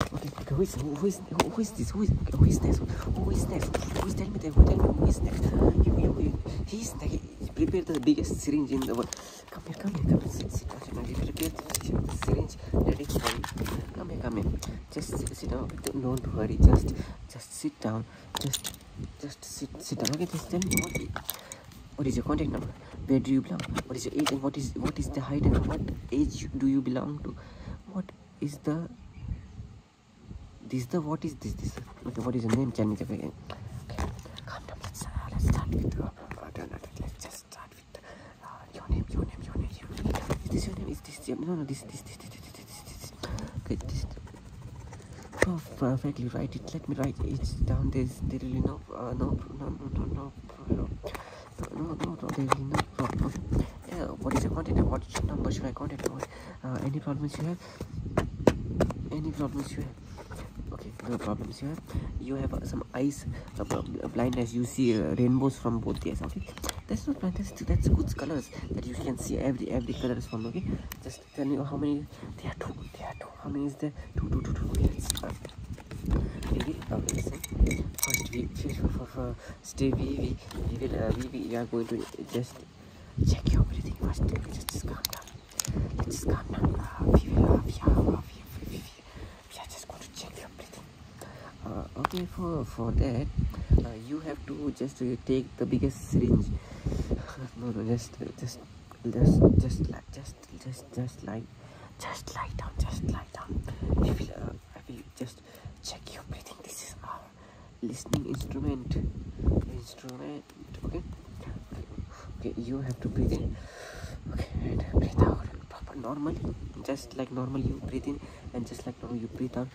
Okay, okay, who is who is who, who is this? Who is okay, who is next? Who is next? Who is tell me that? Who tell me who is next? You, you, you, he is next. He prepared the biggest syringe in the world. Come here, come here, come here. Sit, sit down. He prepared the syringe ready for you. Come here, come here. Just sit, sit down. Don't worry. Just, just sit down. Just, just sit, sit down. Okay, just tell me what. He, what is your contact number? Where do you belong? What is your age and what is what is the height and what age do you belong to? what is the this the what is this this okay what is the name can you give again okay come down let's, uh, let's start with uh, uh no, no, let's just start with uh, your name your name your name your name is this your name is this your, no no this this this this this this, this. okay this oh, perfectly right it let me write it down there's there really no uh, no no no no no, no. no, no, no, there is no problem. Okay. Yeah, what is your contact and what number should I contact on? Uh, any problems you have? Any problems you have? Okay, no problems you have. You have uh, some eyes uh, blindness. You see uh, rainbows from both eyes. Okay, that's not blindness. That's good colors that you can see every every color is from. Okay, just tell me how many. There are two. There are two. How many is there? Two, two, two, two. Yes. Uh, we okay listen first we stay we we we we, are going to just check your breathing first just, just calm down let's just calm down we will uh, we we, are just going to check your breathing okay for for that you have to just take the biggest syringe no no just uh, just just just like just just just like just lie down just lie down just check your breathing this is our listening instrument instrument okay okay, okay you have to breathe in okay and breathe out proper normally just like normal you breathe in and just like normal you breathe out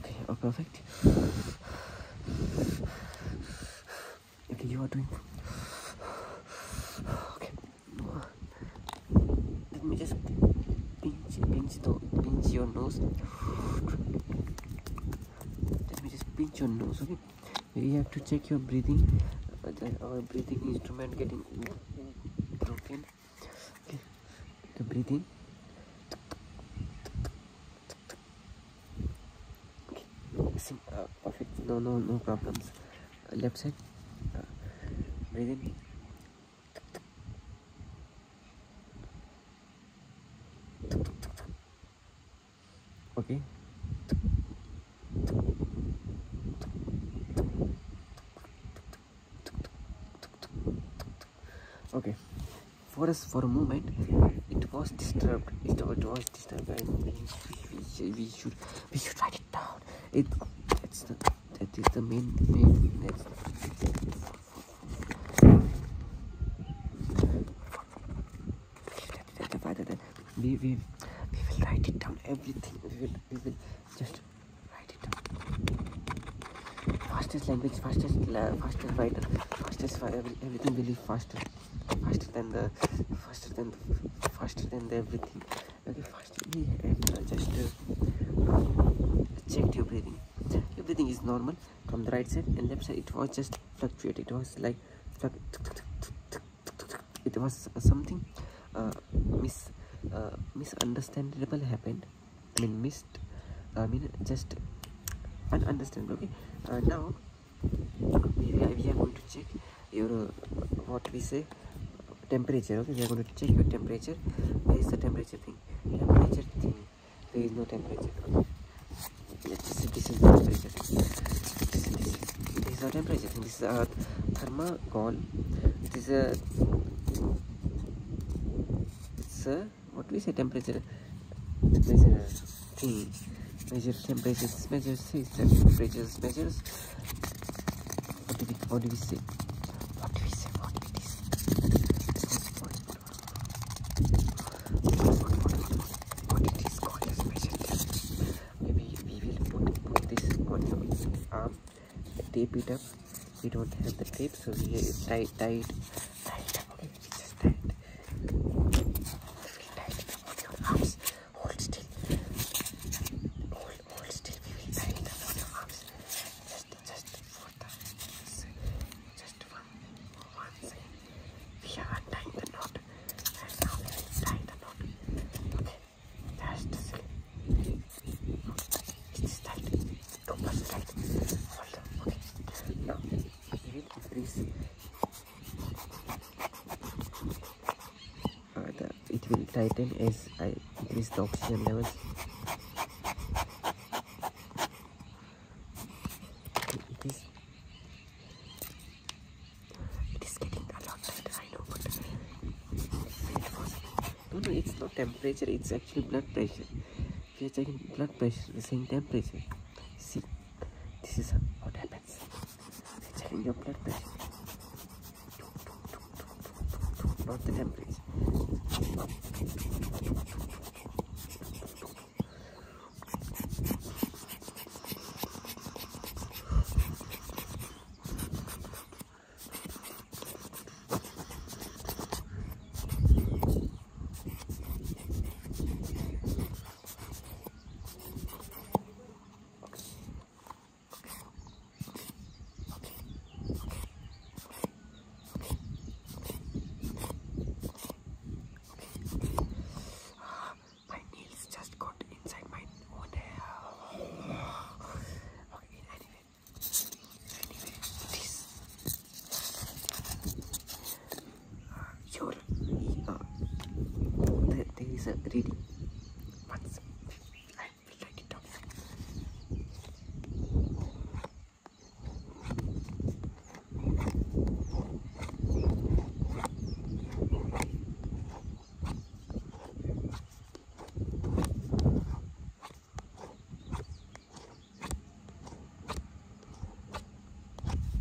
okay oh perfect okay you are doing okay let me just pinch, pinch, your nose. Let me just pinch your nose, okay? You have to check your breathing. Uh, our breathing instrument getting broken. Okay, the breathing perfect no no no problems left side uh, Breathing. okay okay for us for a moment it was disturbed it, it was disturbed and we, should we should try it it, that is the main, main we, we, we will write it down everything we will, we will just write it down fastest language fastest uh, fastest writer fastest everything will be faster faster than the faster than faster than the everything Okay, fast and i just checked your breathing your is normal from the right side and left side it was just fluctuate it was like it was uh, something uh, mis uh, happened I mean missed I mean just understandable. okay uh, now we, we are going to check your what we say temperature okay we are going to check your temperature where is the temperature thing temperature thing there is no temperature okay. let's see this is the temperature this is, this. this is our temperature thing this is our thermocol it is a it's a what we say temperature measure thing measure temperature measures temperature measures What do we what do we say? What do we say? What do we say? What it is called as measure Maybe we will put, put this on your arm, tape it up. We don't have the tape, so we tie, tie it, tie it tie it. Hold still. Hold, hold still. We will bend the lower Just, just for the, just for one second. We have tying the knot. And now we will the knot. Okay. Just slip. Okay. It's tight. Don't push tight. Hold on. Okay. Now we will increase. Uh, it will tighten as I increase the oxygen levels it is, getting a lot tighter I know but it's not temperature it's actually blood pressure We are checking blood pressure the same temperature see this is what happens Actually, your blood pressure. Not the temperature. My nails just got inside my own hair. Okay, anyway, anyway, this. Uh, you there is a reading once I will write it down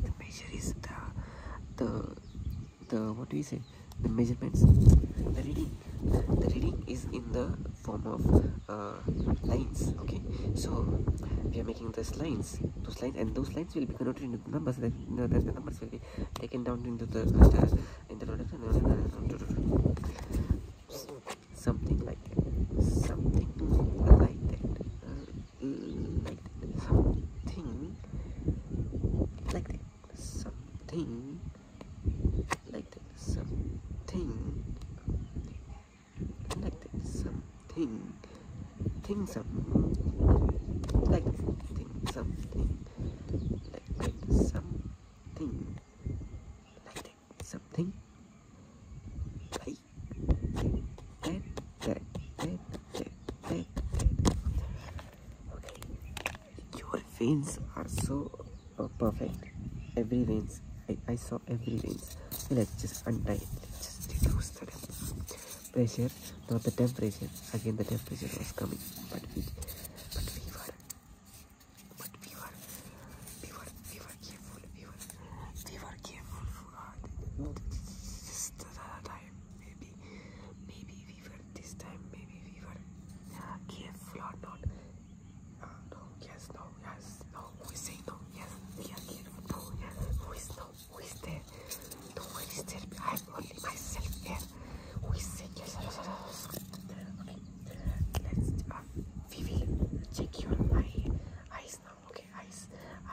the measure is the the the what do you say the measurements the reading the reading is in the form of uh, lines okay so we are making those lines those lines and those lines will be converted into numbers that the numbers will be taken down into the in something like that something like that uh, something like that something like that something like that something thing something like something something like that something like that something like that that that that that, that. Your veins are so uh, perfect. Every veins. I, saw every veins. Let's just untie it. just reduce the pressure. Not the temperature. Again, the temperature was coming. But we, were, but we were, we were, we were careful. We were, we were careful for uh, just the time. Maybe, maybe we were this time maybe we were uh, careful or not uh, no yes no yes no we say no yes we are careful no yes who is no who is there no one is there I'm only myself here who is saying yes okay let's uh, we will check your eye eyes now okay eyes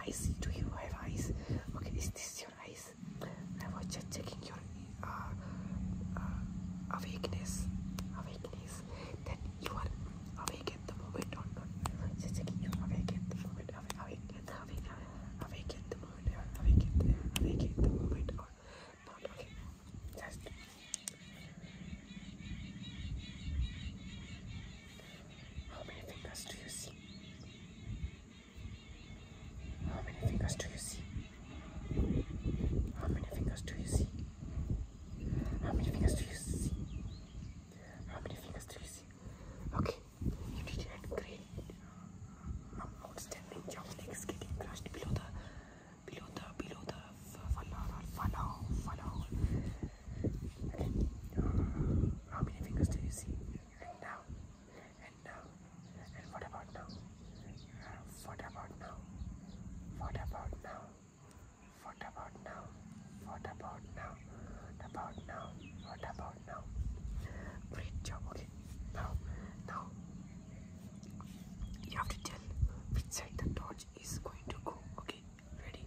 eyes do you have eyes okay is this your I was just checking your uh, uh, awakeness, you are awake at the moment or not. Just checking you awake at the moment, awake, awake, awake, awake at the moment, awake at the, awake at the moment or not. Okay, How many fingers do you see? How many fingers do you see? How many fingers do you see? How many fingers do you see? How many fingers do you see? Okay, you did a great, um, outstanding job. Legs getting crushed below the, below the, below the funnel or funnel, how many fingers do you see? now, and now, and what about now? Uh, what about now? What about now? What about now? What about now? What about now? What about now? Great job. Okay. Now, now you have to tell which side the torch is going to go. Okay. Ready?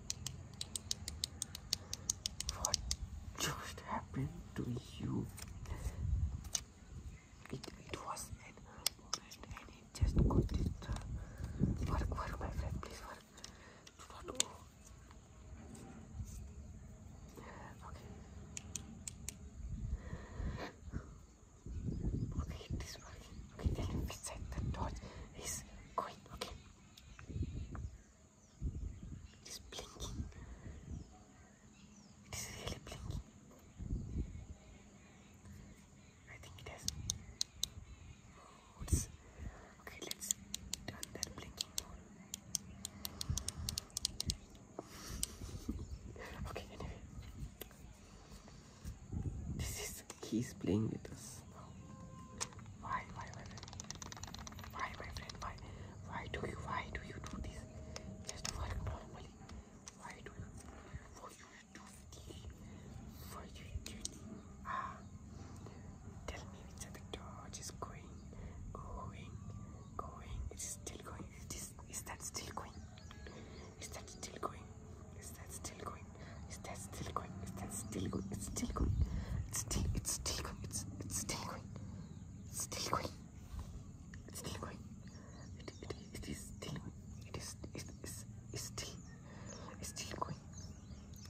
What just happened to you? It, was an moment and it just got disturbed. Work, work, my friend, please work. Do Okay. Okay, it is working. Okay, tell me which the torch is going. Okay. It is blinking. It is really blinking. I think it has. Oh, it's okay. Let's turn that blinking on. okay. Anyway, this is he's playing with us now. Why, why, why, why, my friend, why, why do you, why do you do this? Just work normally. Why do you, for you do this? For you do this? Ah, tell me which other torch is going, going, going. It's still going. Is, this, is that still going? Is that still going? Is that still going? Is that still going? Is that still going? It's still going. It's still, it's still going. It's still green. It's still green. It's still green. It, it, it is still green. It is it is it's still it's still green.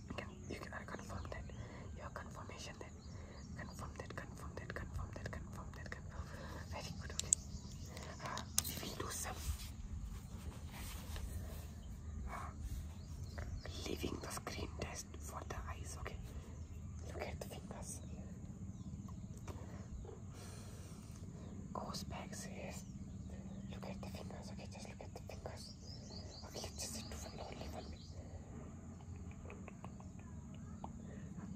You can you can confirm that. Your confirmation that. Confirm that. Confirm that. Confirm that. Confirm that. Confirm. Very good. Okay. Uh, ah, we will do some uh, ah, leaving the screen test for the eyes, okay? Look at the fingers. Goes back, says, look at the fingers, okay? Just look at the fingers. Okay, just sit for lonely one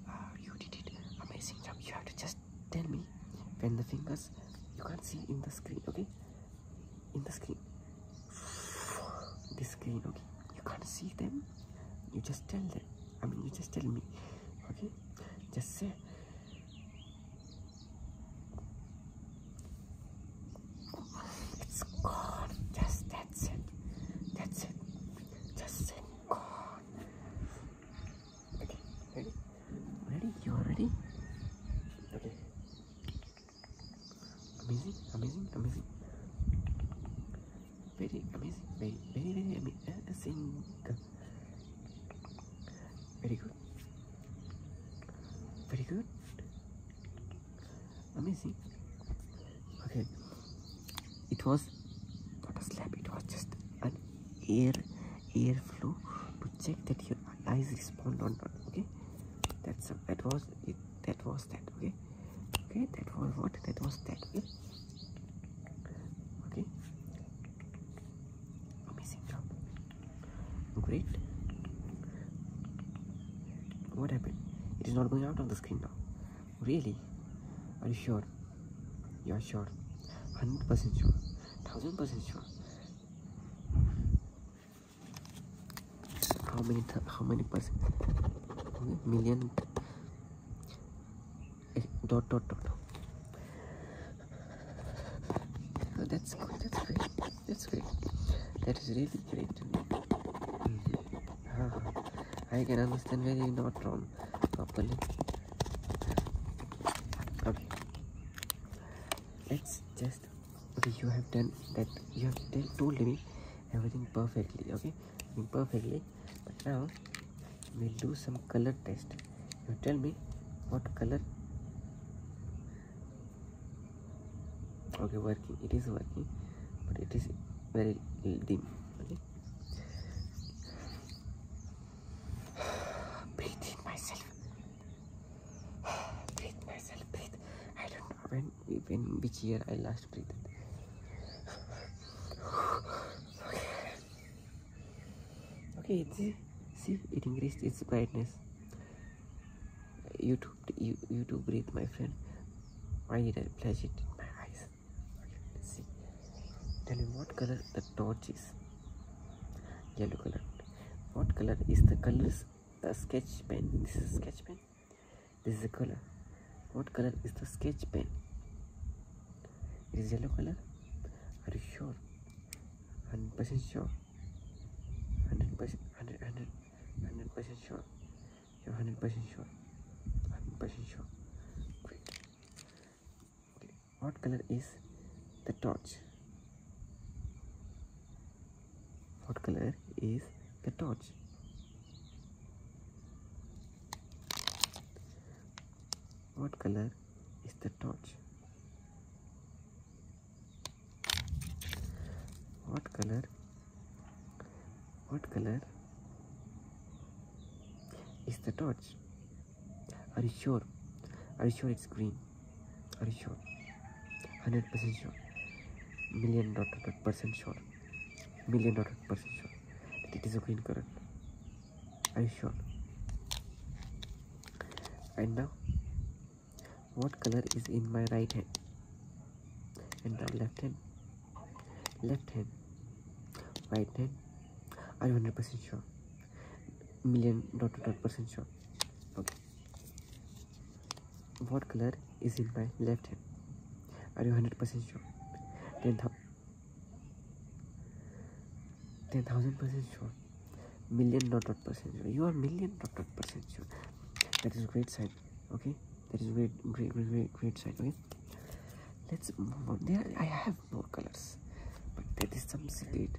ah, you did it. Amazing job. You have to just tell me when the fingers you can't see in the screen, okay? in the screen this screen okay you can't see them you just tell them i mean you just tell me okay just say it's gone just that's it that's it just say gone okay ready ready you're ready okay Amazing, amazing, amazing. Very amazing, very, very, uh, uh, amazing. Very good. Very good. Amazing. Okay. It was not a slap, it was just an air air flow to check that your eyes respond or not. Okay. That's that was it that was that okay okay that was what that was that okay okay amazing job great what happened it is not going out on the screen now really are you sure you are sure 100% sure 1000% sure how many how many percent okay, million eh, dot dot dot oh, that's good that's great that's great that is really great ah, I can understand very not wrong properly okay let's just just okay you have done that you have told me everything perfectly okay perfectly but now we do some color test you tell me what color okay working it is working but it is very dim okay breathe in myself breathe myself breathe i don't when when which year I last breathed. okay. see, see, it increased its brightness. You too, you, you too breathe, my friend. Why did I flash it in my eyes? see. Tell me what color the torch is. Yellow color. What color is the colors? The uh, sketch pen. This is sketch pen. This is a color. What color is the sketch pen? It is yellow color. Are you sure? 100% sure. 100%, 100, 100, 100% sure. You're 100% sure. 100% sure. Great. Okay. What color is the torch? What color is the torch? What color is the torch? What color? What color is the torch? Are you sure? Are you sure it's green? Are you sure? 100% sure million dot dot, percent sure million dot, dot percent sure that it is a green current are you sure and now what color is in my right hand and now left hand left hand right hand are you 100% sure million dot dot, dot percent sure okay what color is in my left hand? Are you 100% sure? 10,000 10, percent sure. Million dot dot percent sure. You are million dot dot percent sure. That is great sign. Okay? That is great, great, great, great, great sign. Okay? Let's move on. There, I have more colors. But there is some secret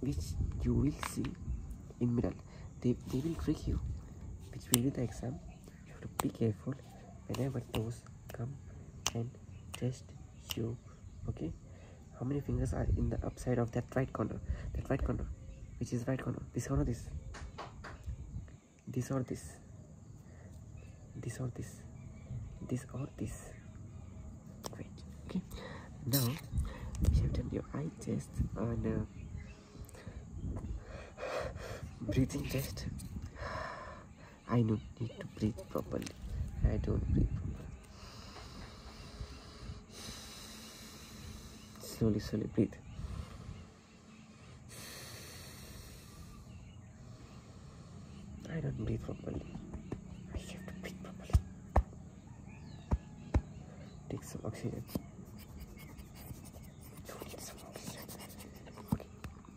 which you will see in middle they, they will trick you which will be the exam you have to be careful whenever those come and test you okay how many fingers are in the upside of that right corner that right corner which is right corner this corner this this or this this or this this or this wait okay now we have done your eye test and uh, breathing test I don't need to breathe properly I don't breathe properly slowly slowly breathe I don't breathe properly I have to breathe properly Take some oxygen.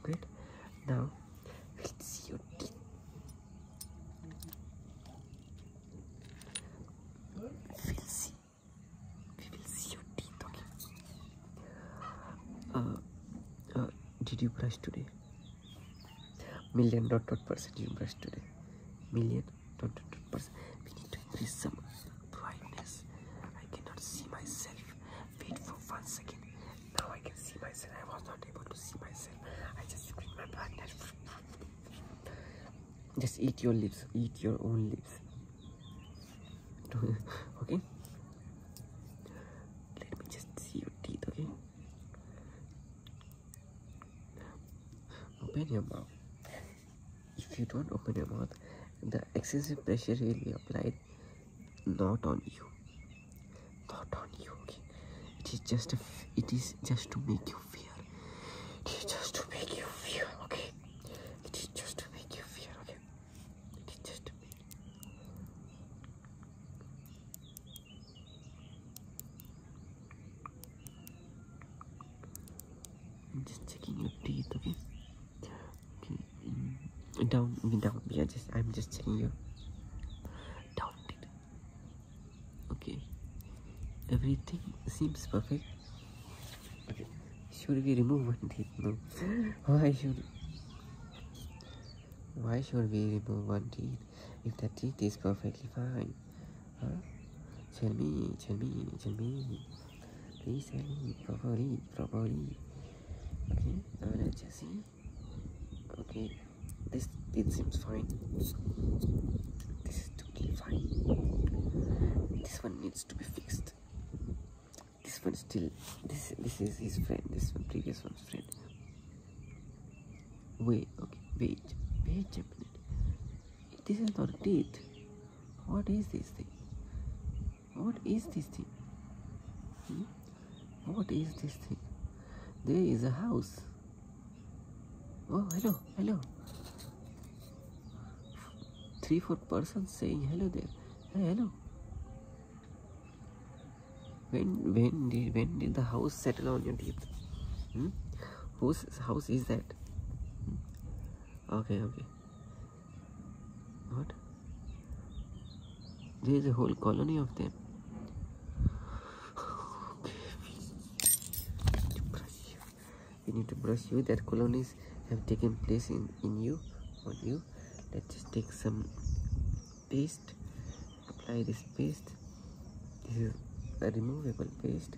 Okay, Now let's see your teeth. We'll see. We will see your teeth. Okay. Uh, uh, did you brush today? Million dot dot percent you brush today. Million. We need to increase some brightness. I cannot see myself. Wait for one second. Now I can see myself. I was not able to see myself. I just increased my brightness. Just eat your lips. Eat your own lips. okay? Let me just see your teeth, okay? Open your mouth if you don't open your mouth the excessive pressure will be applied not on you not on you okay it is just it is just to make you fear it is just to make you fear okay it is just to make you fear okay it is just to I'm just checking your teeth, okay? Okay, um, mm, down, down. Yeah, just I'm just checking your down teeth. Okay, everything seems perfect. Okay, should we remove one teeth? Why should? Why should we remove one teeth if the teeth is perfectly fine? Huh? Tell me, tell me, tell me. Please tell me properly, properly. Okay, I'll us just see. Okay, this it seems fine. This is totally fine. This one needs to be fixed. This one still. This this is his friend. This one previous one's friend. Wait, okay, wait, wait a minute. This is not teeth. What is this thing? What is this thing? Hmm? What is this thing? There is a house. Oh, hello, hello. Three, four persons saying hello there. hello. When when did when did the house settle on your teeth? Whose house is that? Okay, okay. What? There is a whole colony of them. okay, we need to brush you. need to brush you. That colonies have taken place in, in you, on you. Let's just take some paste. Apply this paste. This is a removable paste.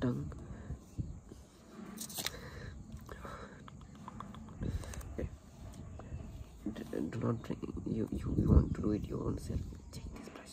tongue. Do not drink. You, you want to do it You own self. Check this brush.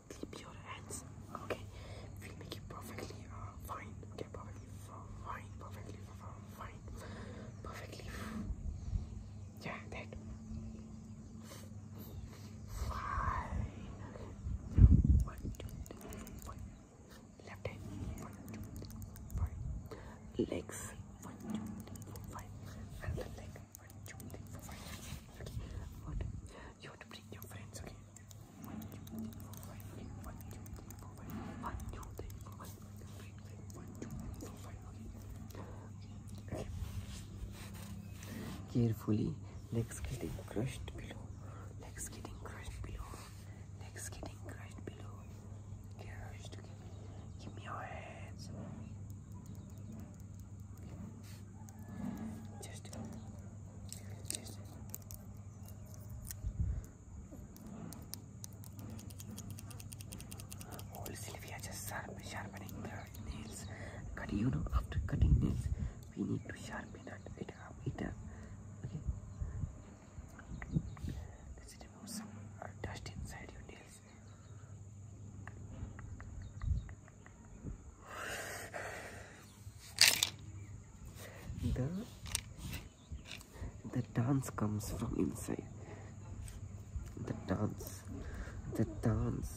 Keep your hands. Okay, we'll make you perfectly uh, fine. Okay, perfectly fine, perfectly fine, perfectly. Yeah, that. Fine. Okay. One, two, three, one. Left hand. One, two, three, five. Legs. One, two, three, four, five. And the leg. One, two, three, four, five. Okay. What? You have to bring your friends. Okay. Carefully, legs getting crushed below, legs getting crushed below, legs getting crushed below. Crushed, give me, your hands. Just just Old oh, Sylvia just sharpening her nails. Cut you know after cutting nails we need to sharpen it up up. Okay. Let's remove some uh, dust inside your nails the the dance comes from inside the dance the dance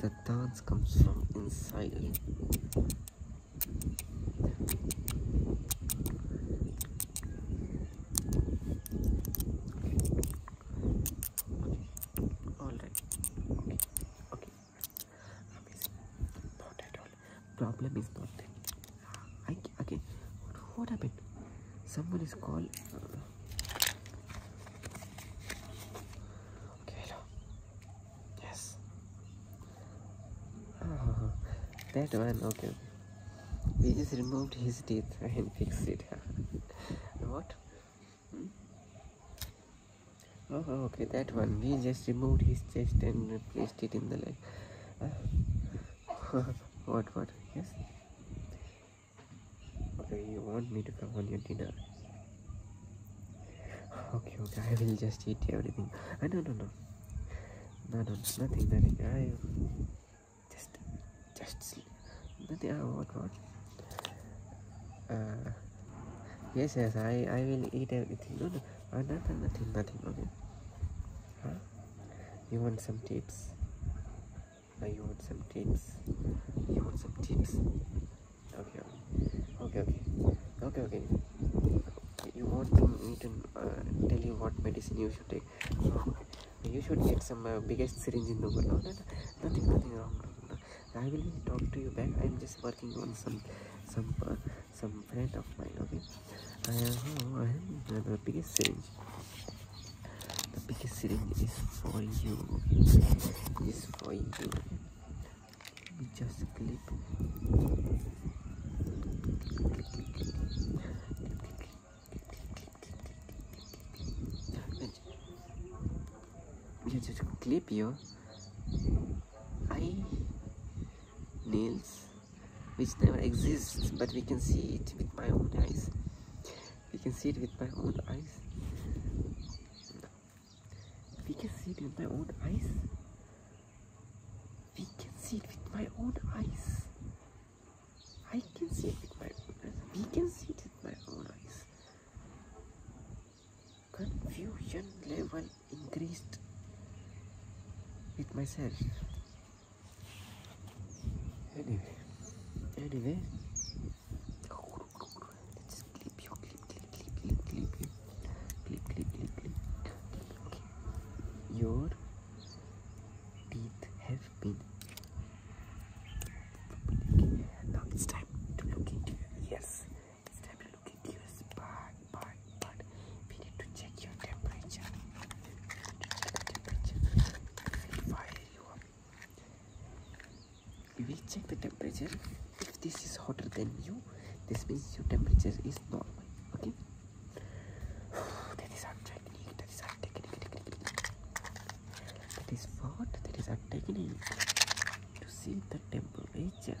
the dance comes from inside all right not at all problem is not there I, okay what, happened someone is called uh, okay yes oh, that one okay we just removed his teeth and fixed it what hmm? Oh, okay, that one. We just removed his chest and replaced it in the leg. what, what? Yes? Okay, you want me to come on your dinner? Okay, okay, I will just eat everything. I ah, no, no, no. No, no, nothing, nothing. I just, just sleep. Nothing, uh, what, what? Uh, yes, yes, I, will eat everything. No, no, uh, nothing, nothing, nothing, okay? Huh? You want some tips? Uh, you want some tips? You want some tips? Okay, okay, okay, okay, okay. You want me to uh, tell you what medicine you should take? you should get some uh, biggest syringe in the world. nothing, nothing wrong. I will talk to you back. I'm just working on some some uh, some friend of mine. Okay, I am, I am the The biggest syringe is for you. is for you. Just clip. You just clip your eye nails which never exists but we can see it with my own eyes we can see it with my own eyes we can see it with my own eyes we can see it with my own eyes I can see it with my we can see it with my own eyes confusion level increased with myself anyway anyway let's clip you clip clip clip clip clip clip clip clip clip clip your teeth have been now it's time to look into your this tablet looking curious, but, but, but we need to check your temperature. We will check the temperature. If this is hotter than you, this means your temperature is normal. Okay? that is our technique. That is our technique. That is what? That is our To see the temperature.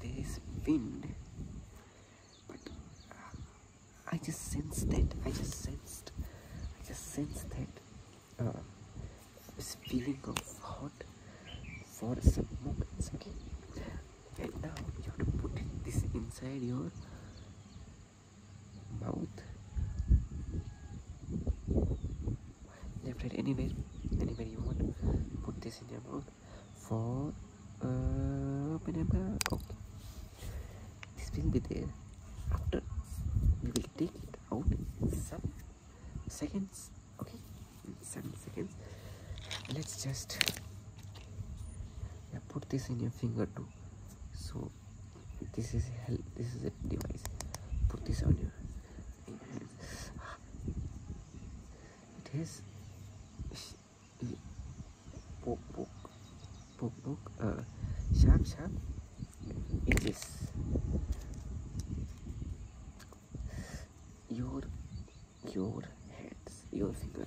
There's wind. But I just sensed that. I just sensed. I just sensed that. Uh, this feeling of hot for some moments and now you have to put this inside your mouth left right anywhere anywhere you want put this in your mouth for uh, banana okay this will be there after we will take it out in seven seconds okay in seven seconds let's just yeah, put this in your finger too so this is help this is a device put this on your hands it has poke poke poke poke uh, sharp sharp edges your your hands your fingers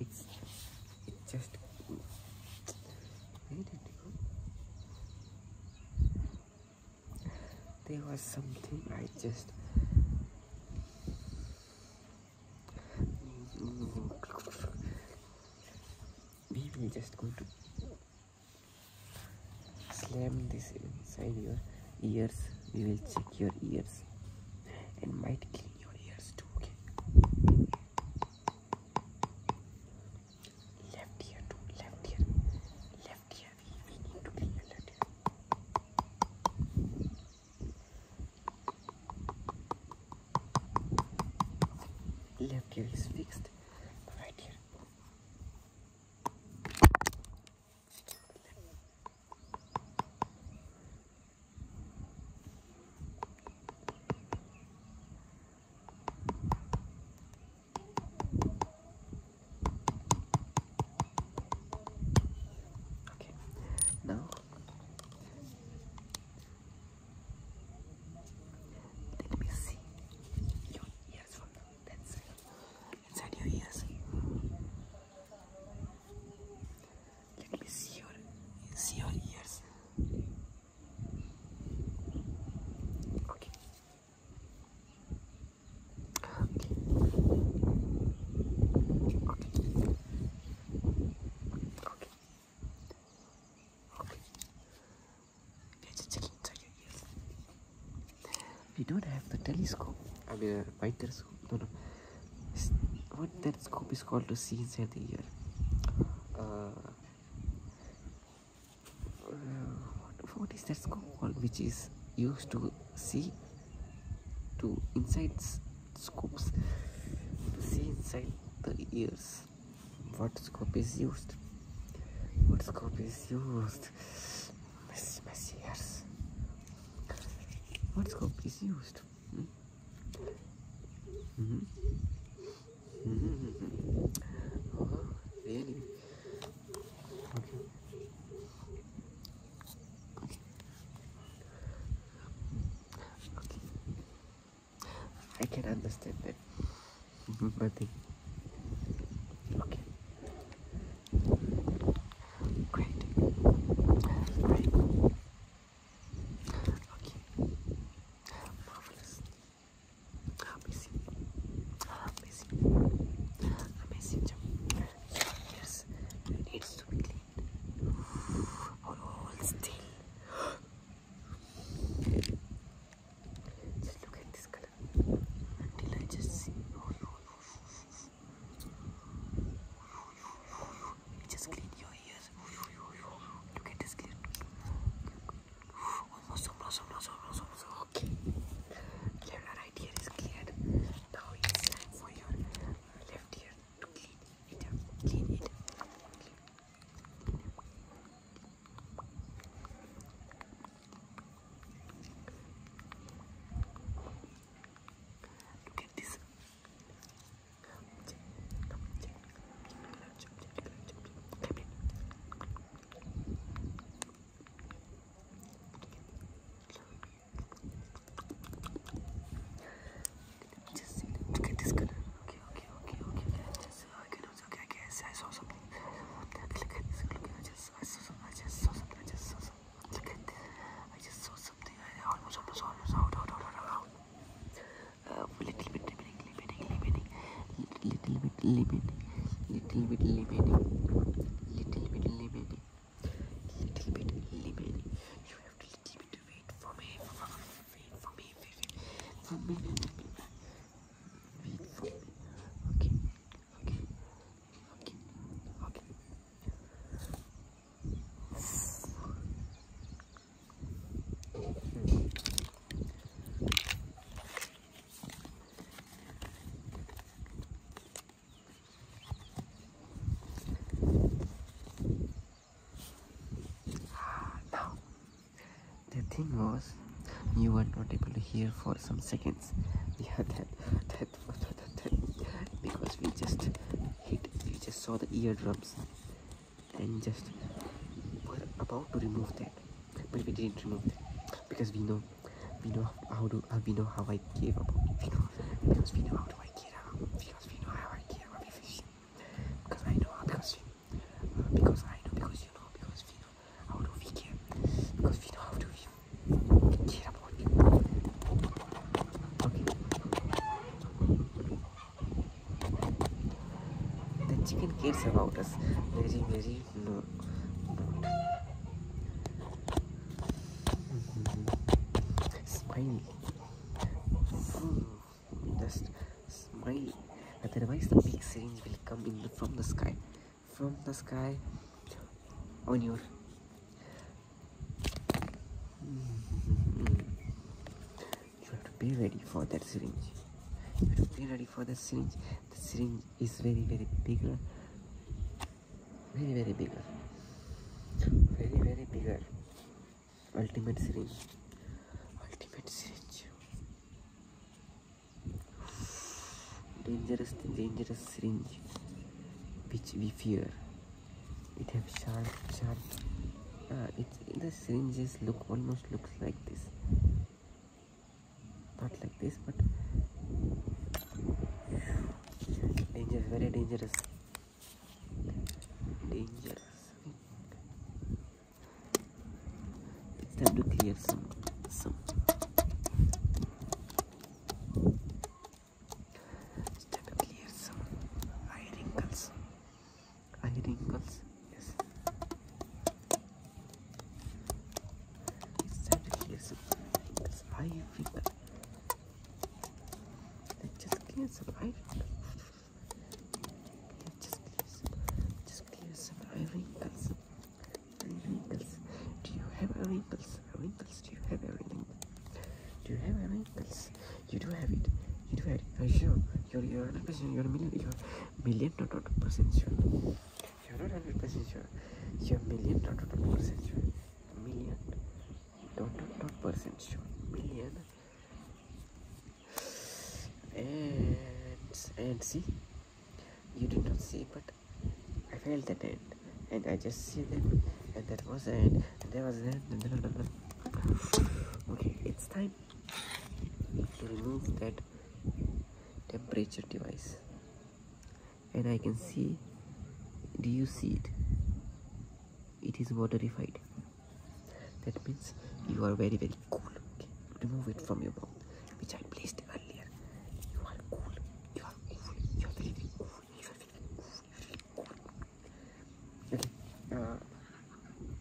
It's, It just where did it go? There was something I just we will just go to slam this inside your ears we will check your ears it might clean your ears too, okay? Left ear too, left ear, left ear, we need to clean left ear. Left ear is fixed, right ear. Okay, now let me see your ears from that side, inside your ears. Let me see your see your ears. Okay. Okay. Okay. Okay. Okay. We don't have the telescope. I mean, uh, by no what that scope is called to see inside the ear. what is that scope called which is used to see to inside scopes see inside the ears what scope is used what scope is used Messy, messy ears. What scope used? I can understand that. Mm-hmm. but okay. Great. Great. Okay. Marvelous. Amazing. Amazing. Amazing Yes. needs to be clean. All, still. Just look at this color until I just see. oh, you just clean your ears. You get this clean. Almost, almost, almost, almost, almost. Okay. Left right ear is cleared. Now it's time for your left ear to clean it. Clean it. Clean. Look at this. Just look at this color. Okay, okay, okay, okay. I just, okay, okay, I guess I saw something. Look at this. Look, I just, I saw something. I just saw something. I just saw something. Look at this. I just saw something something like that. Almost, almost, almost out, out, out, out, out. Uh, little bit remaining, remaining, remaining. Little bit remaining, little bit remaining, little bit remaining, little bit remaining. You have to little bit wait for me, wait for me, wait for me, wait for me. Okay, okay, okay, okay the thing was you were not able to hear for some seconds yeah that that because we just hit we just saw the eardrums and just were about to remove that but we didn't remove that because we know we know how to uh, we know how I care about it. we know because we know how to I care about because we know how I care about everything because I know because we, uh, because I know because you know because we know how do we care because we know how to we the chicken cares about us very, very no. Smile. Just smile. Otherwise, the big syringe will come in from the sky. From the sky on your you have to be ready for that syringe. You have to be ready for the syringe. The syringe is very, very bigger. Very, very bigger. Very, very bigger. Ultimate syringe. Ultimate syringe. Dangerous, dangerous syringe which we fear it have sharp sharp uh, it's the syringes look almost looks like this not like this but dangerous very dangerous dangerous it's time to clear some some Step yes. Eye wrinkles. Eye Yes. Just clear some eye wrinkles. Just clear some. Just clear some eye Do you have eye wrinkles? Our wrinkles. Do you have a wrinkle? Do you have a wrinkles? You do have it. You do have it. Are you sure? You're, you're 100% You're a million. You're million, not 100% sure. You're not 100% sure. You're million, not 100% sure. Million. Not, not, not percent sure. Million. And, and see? You did not see, but I failed the end, and I just see that, and that was it. there was the end. Okay, it's time to remove that temperature device, and I can see. Do you see it? It is waterified. That means you are very very cool. remove it from your mouth, which I placed earlier. You are cool. You are cool. You are very very cool. Uh,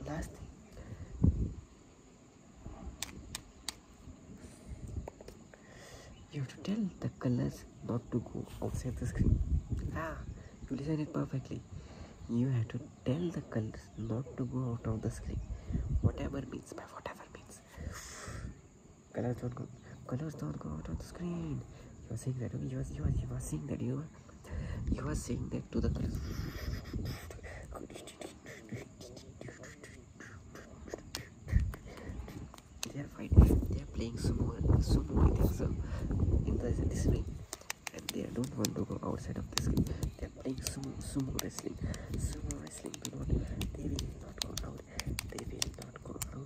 last thing you have to tell the colors not to go outside the screen ah you listen it perfectly you have to tell the colors not to go out of the screen whatever means by whatever means colors don't go colors don't go out on the screen you are saying that okay you are you are, you are saying that you are you are saying that to the colors they are fighting they are playing sumo sumo i think so uh, in the, this ring and they don't want to go outside of this game they are playing sumo sumo wrestling sumo wrestling do not they will not go out they will not go out